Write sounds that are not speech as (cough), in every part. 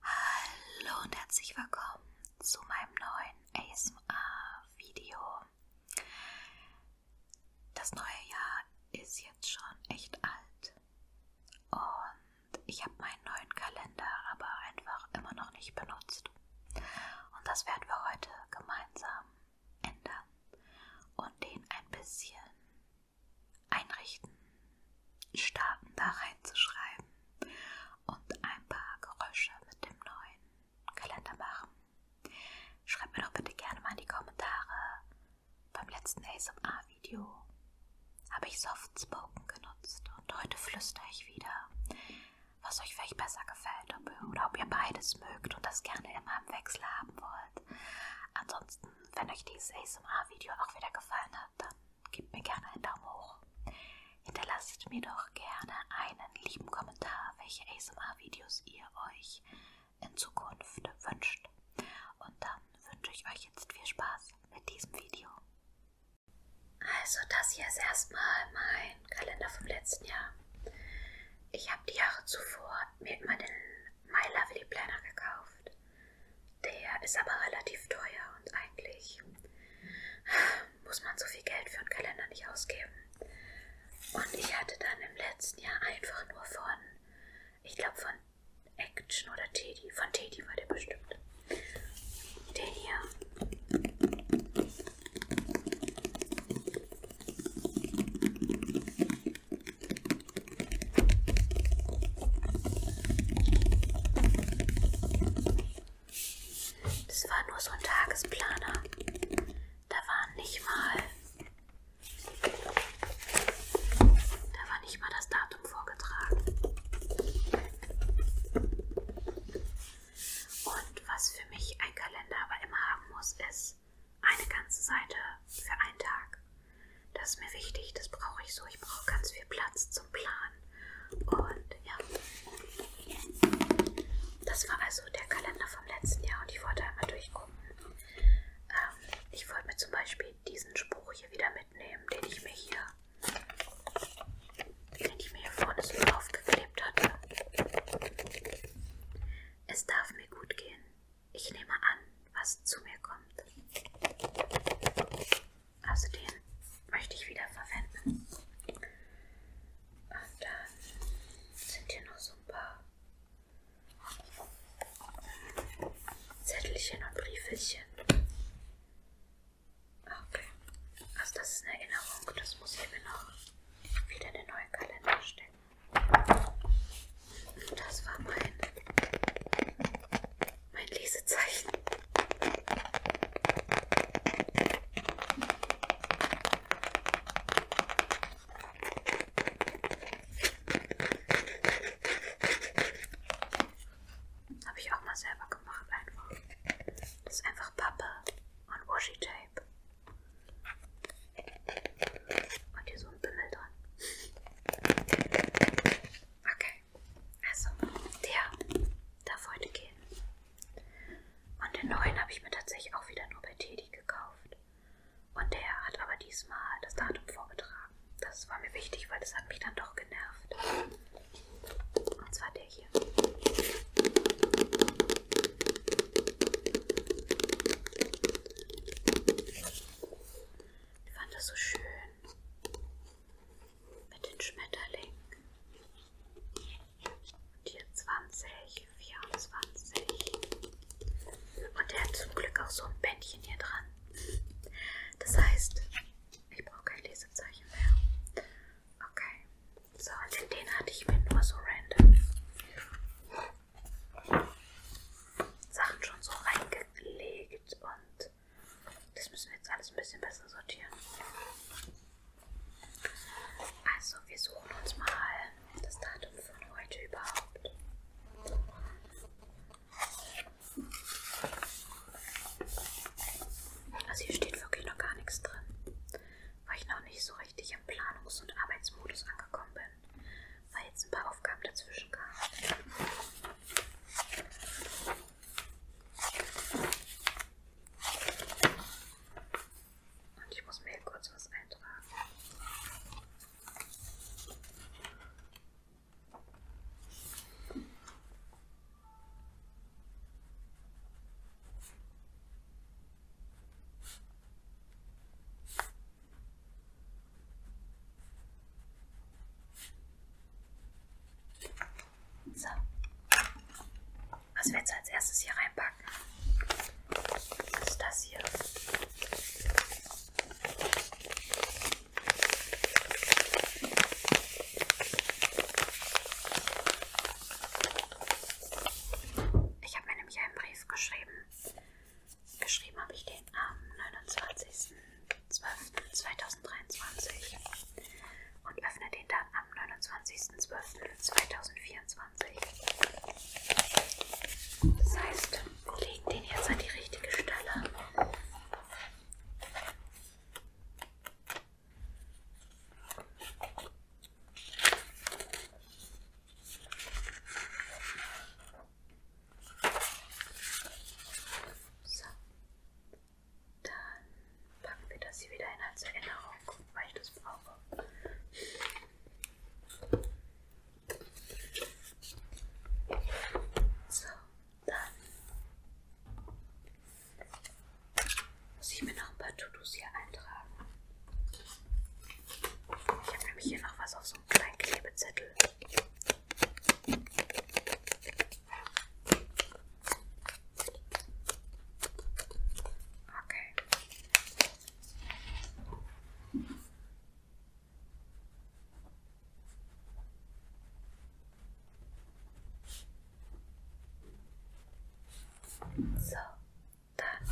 Hallo und herzlich willkommen zu meinem neuen ASMR-Video. Das neue Jahr ist jetzt schon echt alt und ich habe meinen neuen Kalender aber einfach immer noch nicht benutzt. Und das werden wir heute gemeinsam ändern und den ein bisschen einrichten, Staaten da reinzuschreiben und ein paar Geräusche mit dem neuen Kalender machen. Schreibt mir doch bitte gerne mal in die Kommentare beim letzten ASMR-Video. Habe ich Soft Spoken genutzt und heute flüstere ich wieder, was euch vielleicht besser gefällt ob ihr, oder ob ihr beides mögt und das gerne immer im Wechsel haben wollt. Ansonsten, wenn euch dieses ASMR-Video auch wieder gefallen hat, dann gebt mir gerne einen Daumen hoch. Hinterlasst mir doch gerne einen lieben Kommentar, welche ASMR-Videos ihr euch in Zukunft wünscht. Und dann wünsche ich euch jetzt viel Spaß mit diesem Video. Also das hier ist erstmal mein Kalender vom letzten Jahr. Ich habe die Jahre zuvor mir immer den My Lovely Planner gekauft. Der ist aber relativ teuer und eigentlich muss man so viel Geld für einen Kalender nicht ausgeben. Und ich hatte dann im letzten Jahr einfach nur von, ich glaube von Action oder Teddy, von Teddy war der bestimmt. Den hier. Das war nur so ein Tagesplaner. Da war nicht mal. Da war nicht mal das Datum vorgetragen. Und was für mich ein Kalender aber immer haben muss, ist eine ganze Seite für einen Tag. Das ist mir wichtig, das brauche ich so. Ich brauche ganz viel Platz zum Planen. Und ja, das war also der Kalender vom letzten Jahr und ich wollte einmal durchgucken. Ähm, ich wollte mir zum Beispiel diesen Spruch hier wieder mitnehmen, den ich mir hier, den ich mir hier vorne so aufgeklebt hatte. Es darf mir gut gehen. Ich nehme an, was zu mir kommt. Also den möchte ich wieder verwenden. Und dann sind hier noch so ein paar Zettelchen und Briefelchen. Ah, okay. Also das ist eine Erinnerung. Das muss ich mir noch wieder in den neuen Kalender stecken. Das war mein, mein Lesezeichen. Habe ich auch mal selber gemacht, einfach. Das ist einfach Pappe und Washi Tape. Und hier so ein Bimmel dran. Okay. Okay, also der darf heute gehen. Und den neuen habe ich mir tatsächlich auch wieder nur bei Teddy gekauft. Und der hat aber diesmal das Datum vorgetragen. Das war mir wichtig, weil das hat mich dann doch genervt. Und zwar der hier. Ich fand das so schön. Mit den Schmetterlingen. Und hier 20, 24. Und der hat zum Glück auch so ein Bändchen hier dran. Das heißt, ich brauche kein Lesezeichen mehr. Okay. So, und den hatte ich mir nur so random. Sachen schon so reingelegt und das müssen wir jetzt alles ein bisschen besser sortieren. Also, wir suchen uns mal das Datum von heute überhaupt. Also, hier steht wirklich noch gar nichts drin, weil ich noch nicht so richtig im Planungs- und Arbeitsmodus angekommen bin können, weil jetzt ein paar Aufgaben dazwischen kamen. Und ich muss mir hier kurz was eintragen. So. Was wir jetzt als erstes hier reinpacken, ist das hier. Ich habe mir nämlich einen Brief geschrieben Geschrieben habe ich den am 29.12.2023 und öffne den dann am 29.12.2024. Das heißt, wir legen den jetzt an die richtige Stelle. So. Dann packen wir das hier wieder hin als Erinnerung, weil ich das brauche. So, dann muss ich mir noch ein paar To-Dos hier eintragen. Ich habe nämlich hier noch was auf so einem kleinen Klebezettel. Okay. So, dann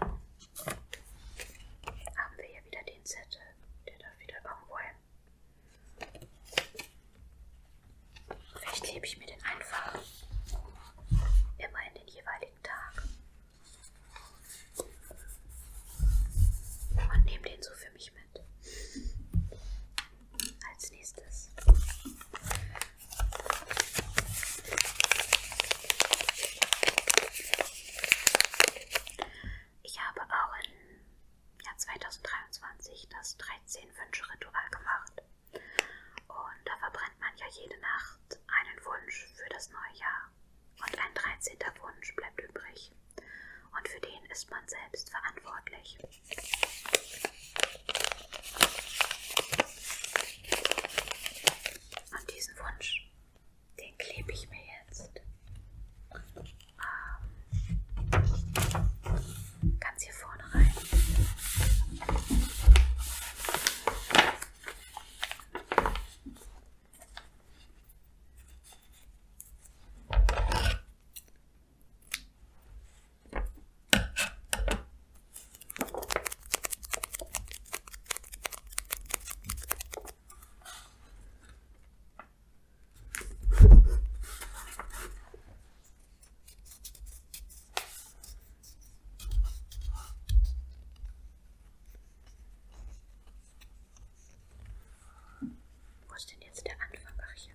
haben wir hier wieder den Zettel. Der darf wieder irgendwo hin. Vielleicht klebe ich mir den einfach immer in den jeweiligen Tag. Und nehme den so für mich mit. Als nächstes. Ich habe auch im Jahr 2023 das 13-Wünsche-Ritual gemacht. Und da verbrennt man ja jede Nacht einen Wunsch für das neue Jahr. Und ein 13. Wunsch bleibt übrig. Und für den ist man selbst verantwortlich. Und diesen Wunsch den klebe ich mir jetzt ähm, ganz hier vorne rein. Wo ist denn jetzt der Anfang? Ach hier.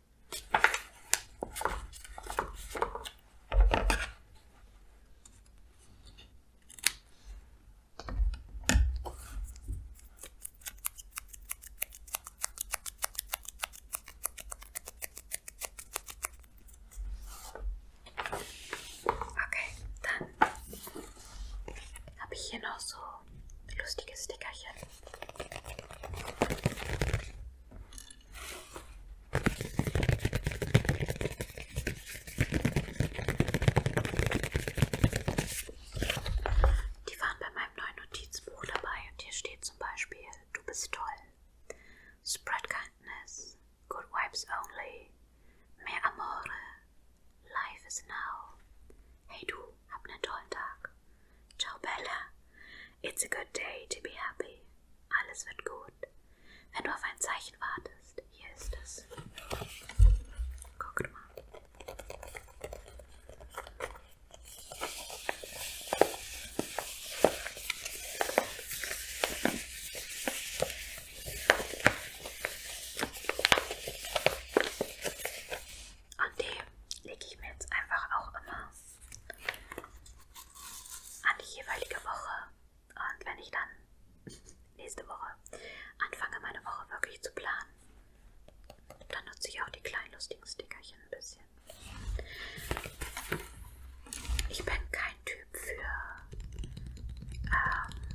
Okay, dann habe ich hier noch so lustige Stickerchen. Die waren bei meinem neuen Notizbuch dabei und hier steht zum Beispiel, du bist toll. Spread kindness, good vibes only, me amore, life is now. Hey du, hab einen tollen Tag. Ciao, Bella. It's a good day to be happy. Alles wird gut. Wenn du auf ein Zeichen wartest, hier ist es. Guckt mal. Und den lege ich mir jetzt einfach auch immer an die jeweilige Woche. Und wenn ich dann nächste Woche anfange, meine Woche wirklich zu planen, dann nutze ich auch die kleinen lustigen Stickerchen ein bisschen. Ich bin kein Typ für ähm,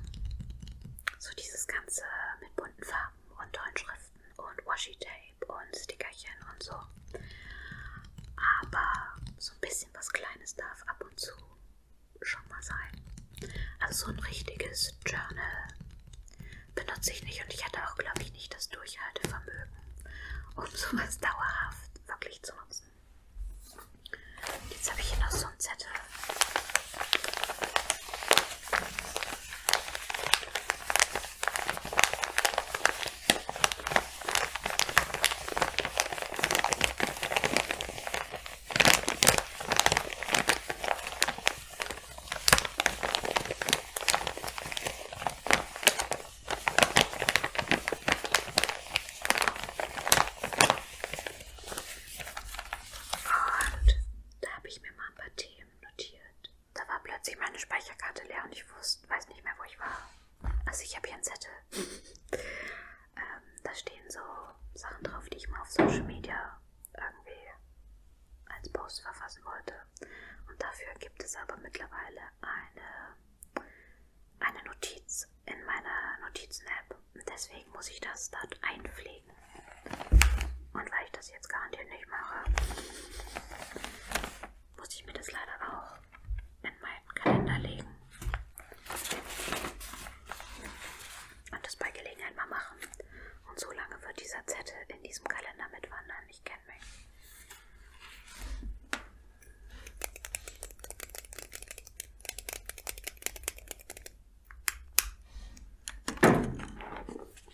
so dieses Ganze mit bunten Farben und tollen Schriften und Washi-Tape Tape und Stickerchen und so. Aber so ein bisschen was Kleines darf ab und zu schon mal sein. Also so ein richtiges Journal benutze ich nicht und ich hatte auch, glaube ich, nicht das Durchhaltevermögen, um (laughs) sowas dauerhaft wirklich zu nutzen. Jetzt habe ich hier noch so einen Zettel. Und da habe ich mir mal ein paar Themen notiert da war plötzlich meine Speicherkarte leer und ich wusste, weiß nicht mehr, wo ich war. Also ich habe hier einen Zettel. (laughs) ähm, da stehen so Sachen drauf, die ich mal auf Social Media irgendwie als Post verfassen wollte. Und dafür gibt es aber mittlerweile eine, eine Notiz in meiner Notizen-App. Deswegen muss ich das dort einpflegen. Und weil ich das ich jetzt garantiert nicht mache, muss ich mir das leider auch in meinen Kalender legen. Und das bei Gelegenheit mal machen. Und so lange wird dieser Zettel in diesem Kalender mitwandern. Ich kenne mich.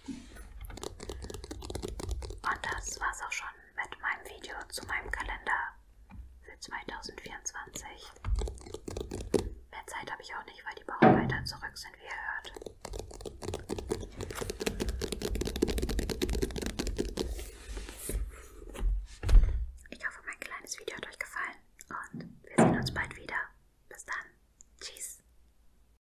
Und das war's auch schon mit meinem Video zu meinem Kalender für 2024. Mehr Zeit habe ich auch nicht, weil die Bauarbeiter zurück sind, wie ihr hört. Ich hoffe, mein kleines Video hat euch gefallen und wir sehen uns bald wieder. Bis dann. Tschüss.